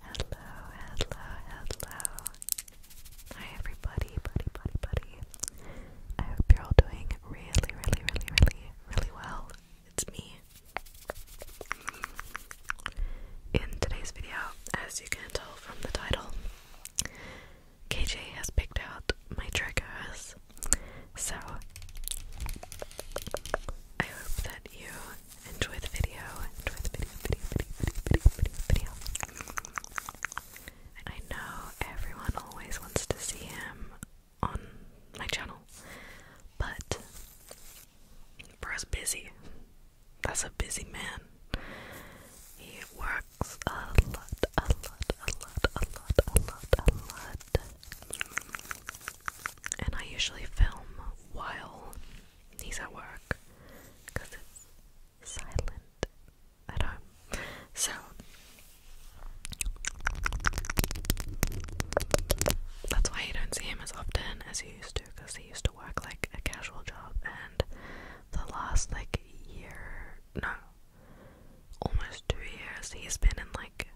Hello, hello, hello. Hi everybody, buddy, buddy, buddy. I hope you're all doing really, really, really, really, really well. It's me. In today's video, as you can tell from the title, KJ has picked out my triggers, so I hope that you enjoy the video. Enjoy the video, video, video, video, video, video, video. I know everyone always wants to see him on my channel, but bro's busy. That's a busy man. He works a lot, a lot, a lot, a lot, a lot, a lot. And I usually film while he's at work because it's silent at home. So that's why you don't see him as often as you used to because he used to work like a casual job and the last like year no almost two years. He's been in like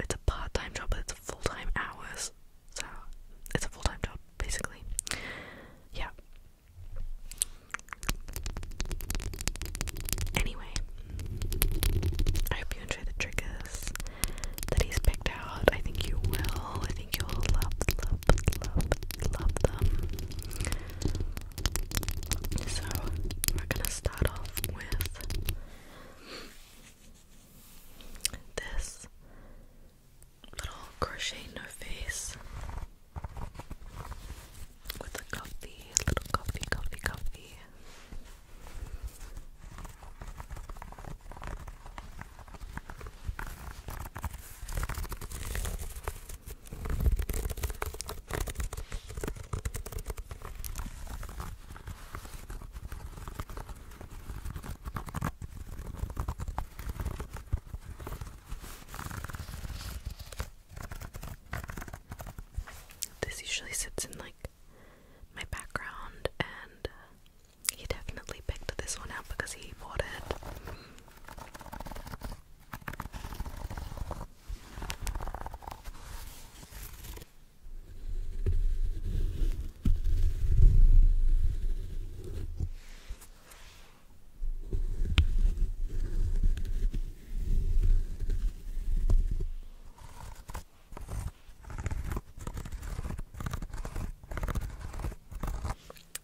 it's a part time job, but it's full time hours. So it's a full time job basically. Yeah. Anyway, I hope you enjoy the triggers that he's picked out. I think you will. I think you'll love, love, love, love them. So we're gonna start off with this little crochet no face with a coffee, little coffee, coffee, coffee. This usually sits in like my background, and uh, he definitely picked this one out because he bought it.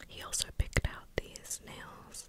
He also picked out these nails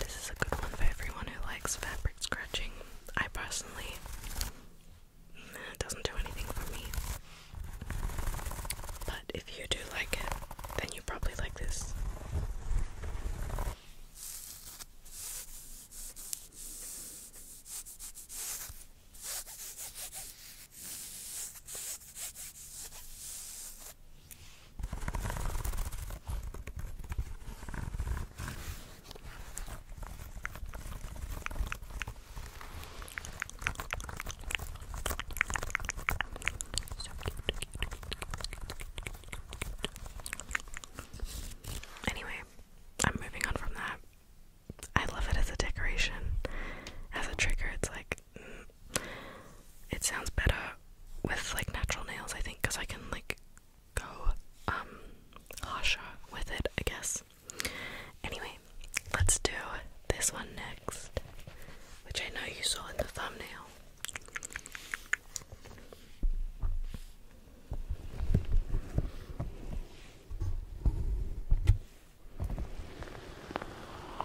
This is a good one for everyone who likes fabric scratching. I personally, doesn't do anything for me. But if you do like it, then you probably like this. Anyway, I'm moving on from that. I love it as a decoration. As a trigger, it's like, mm, it sounds better with like natural nails, I think, because I can like go um with it, I guess. Anyway, let's do this one next, which I know you saw in the thumbnail.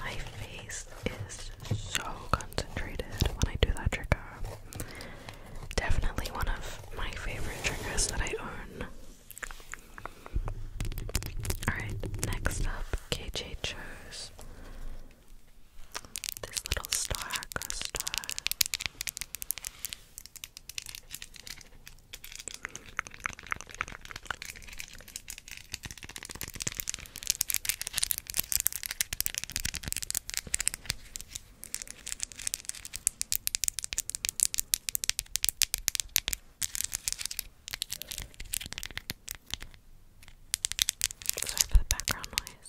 My face is so concentrated when I do that trigger. Definitely one of my favorite triggers that I own. Alright, next up, KJ chose this little star, goes Sorry for the background noise.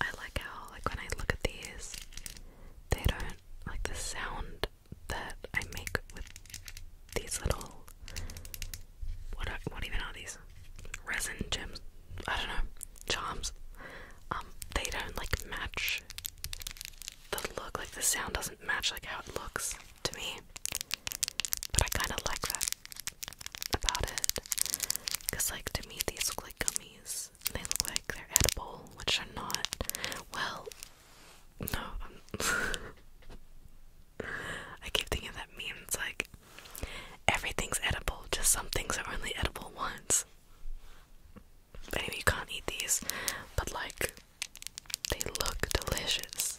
I like how, like, when I look at these, they don't like the sound that I make with these little. What what even are these? Resin gems? I don't know. Charms. Um, they don't like match the look. Like the sound doesn't match like how it looks to me. But I kind of like that about it. Because, like, to me, these look like gummies. They look like they're edible, which are not. Well, no. I keep thinking that means, like, everything's edible, just some things are only edible once. But you can't eat these, but, like, they look delicious.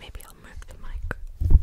Maybe I'll move the mic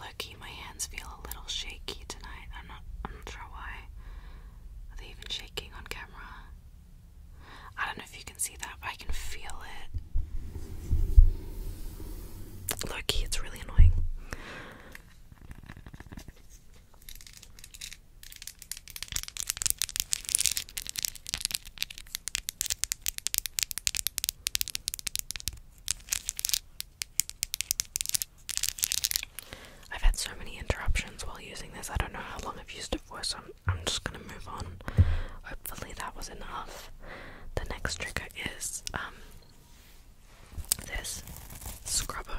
Loki, my hands feel a little shaky tonight. I'm not I'm not sure why. Are they even shaking on camera? I don't know if you can see that, but I can feel it. Loki, it's really annoying. I've had so many interruptions while using this. I don't know how long I've used it for, so I'm, just gonna move on. Hopefully, that was enough. The next trigger is um, this scrubber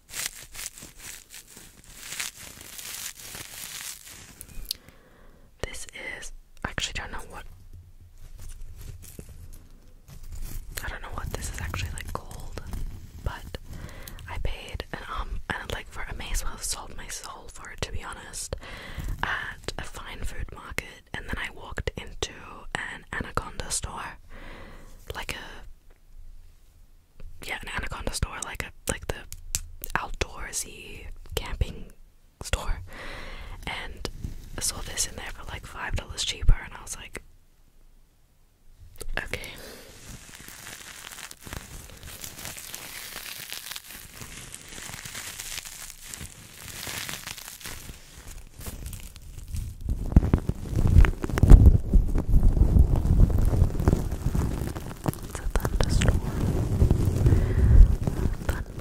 This is I actually don't know what I don't know what this is actually like called, but I paid an um and like for I may as well have sold my soul for it to be honest at a fine food market and then I walked into an anaconda store like a yeah, an Anaconda store, like a like the outdoorsy camping store, and I saw this in there for like five dollars cheaper, and I was like, okay. It's a thunderstorm.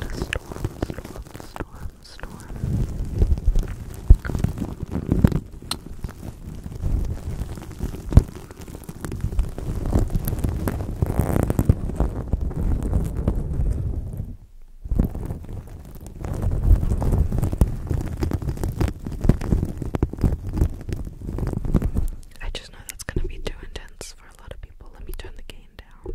Thunderstorm, storm, storm, storm. I just know that's gonna be too intense for a lot of people. Let me turn the gain down.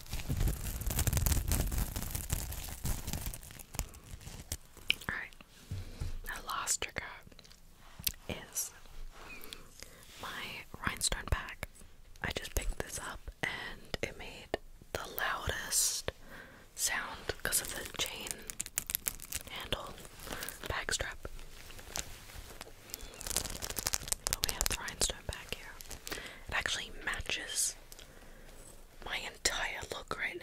Alright, the last trigger is my rhinestone pack. I just picked this up and it made the loudest sound because of the chain handle bag strap. But we have the rhinestone back here. It actually matches my entire look right now.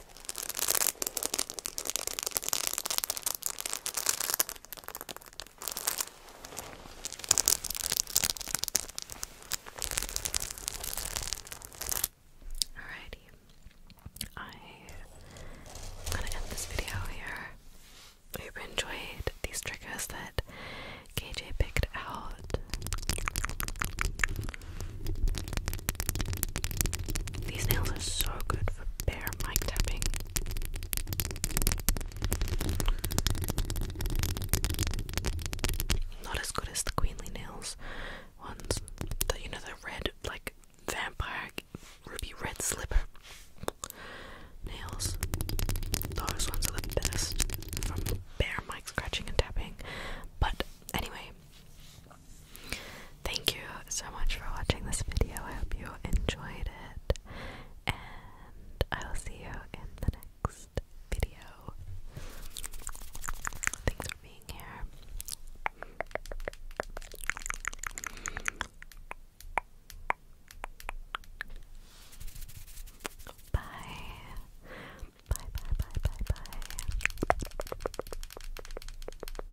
Alrighty, I'm gonna end this video here. hope you enjoyed these triggers that KJ picked out. These nails are so good for bare mic tapping. Not as good as the queenly nails ones. The, you know the red like vampire ruby red slipper nails. Those ones are the best from bare mic scratching and tapping. But anyway, Thank you so much for watching this video. I hope you enjoyed it. And I will see you in the next video. Thanks for being here. Bye. Bye, bye, bye, bye, bye.